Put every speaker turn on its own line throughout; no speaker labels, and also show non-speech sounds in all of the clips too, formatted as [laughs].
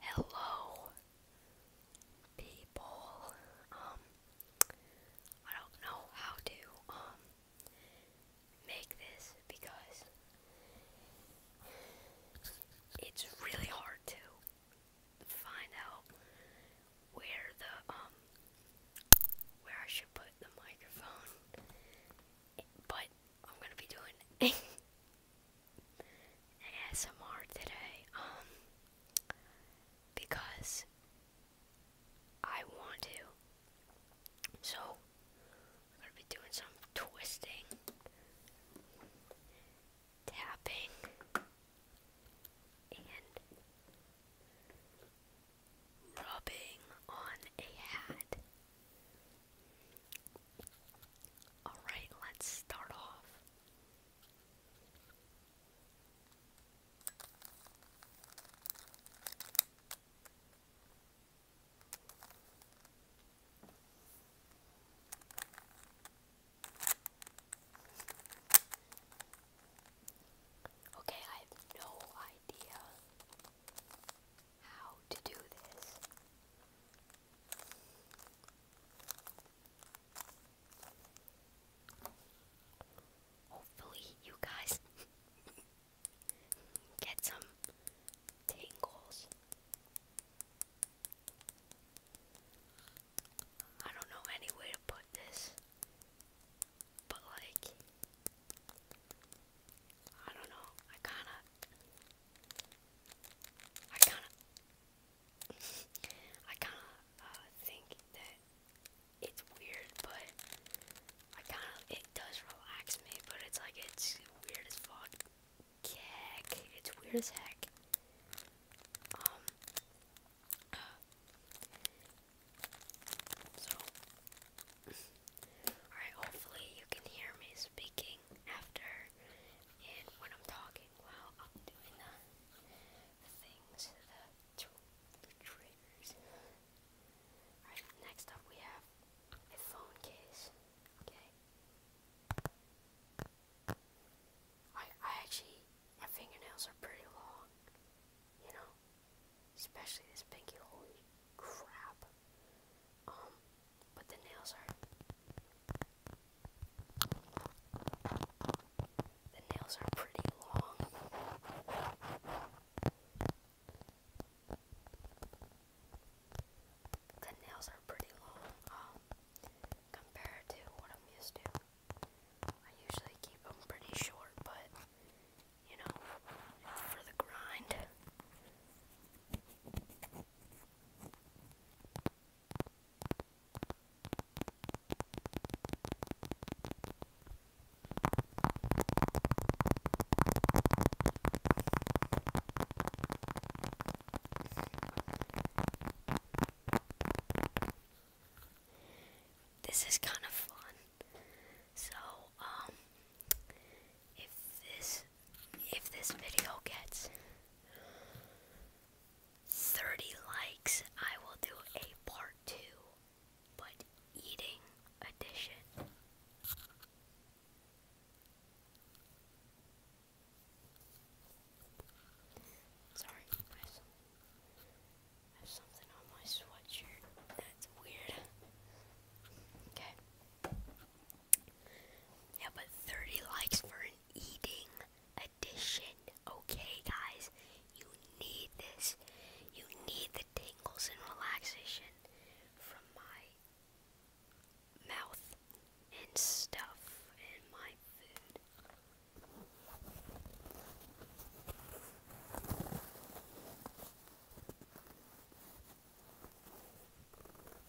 Hello, people. Um, I don't know how to um make this because it's really hard to find out where the um where I should put the microphone, but I'm gonna be doing ASMR [laughs] today, um, because I want to. So, I'm gonna be doing some twisting, tapping, and rubbing on a hat. Alright, let's start off. Okay, I have no idea how to do this. Hopefully, you guys [laughs] get some tingles. I don't know any way to put this. But like I don't know. I kind of I kind of [laughs] I kind of uh, think that it's weird, but I kind of it does relax me, but it's like it's weird as fuck. it's weird as heck. Um, alright, hopefully you can hear me speaking after and when I'm talking while I'm doing the, things, the triggers. Alright, next up we have a phone case. Okay. I I actually my fingernails are pretty long, you know. Especially this pinky, holy crap. Um, but the nails are. The nails are pretty long. The nails are pretty long, um, compared to what I'm used to. I usually keep them pretty short, but you know, for the grind. This is kind of fun. So, um, if this if this video gets 30 likes, I will do a part 2, but eating edition. Sorry, guys. I have something on my sweatshirt. That's weird. Okay. Yeah, but 30 likes for eating edition. Okay, guys. You need this. You need the tingles and relaxation from my mouth and stuff and my food.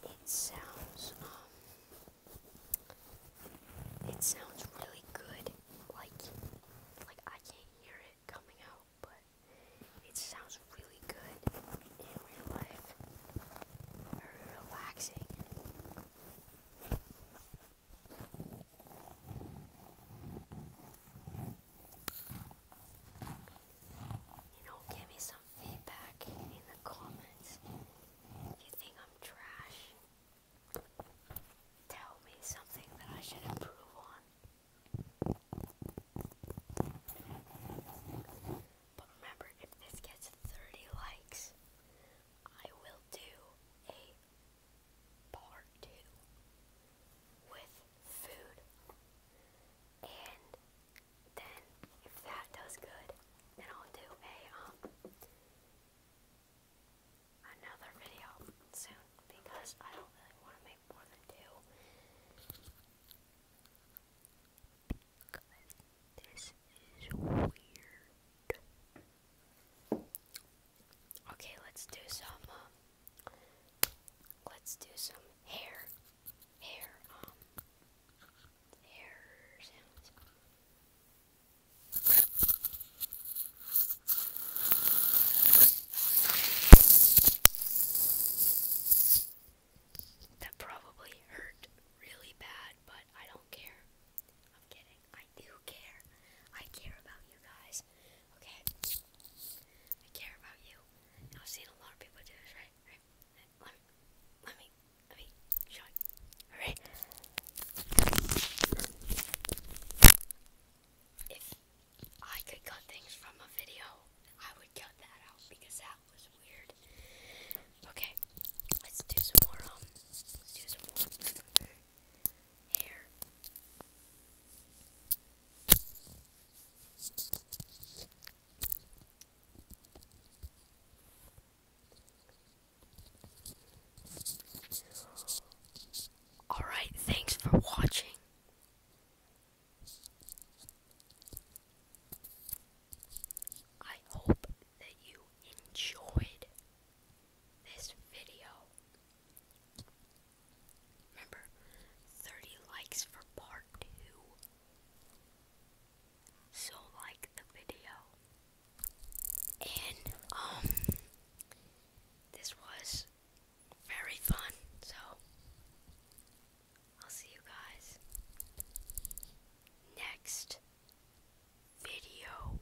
It sounds um it sounds really good. Like like I can't hear it coming out, but it sounds really good in real life. Very relaxing. You know, give me some feedback in the comments. If you think I'm trash, tell me something that I should improve on. But remember, if this gets 30 likes, I will do a part two with food. And then if that does good, then I'll do a um another video soon because I don't really want to make more than two. Because this is weird. Okay, let's do some um, Let's do some hair, hair, um, hair sounds. That probably hurt really bad, but I don't care. I'm kidding. I do care. I care about you guys. Okay. I care about you. I've seen a lot of people do this, right? Let me, let me, let me show Alright? If I could cut things from a video, I would cut that out because that was weird. Okay. Let's do some more, um, let's do some more. Alright, thanks for watching. I hope that you enjoyed this video. Remember, 30 likes for part 2. So like the video. And, um, this was very fun, so I'll see you guys next video.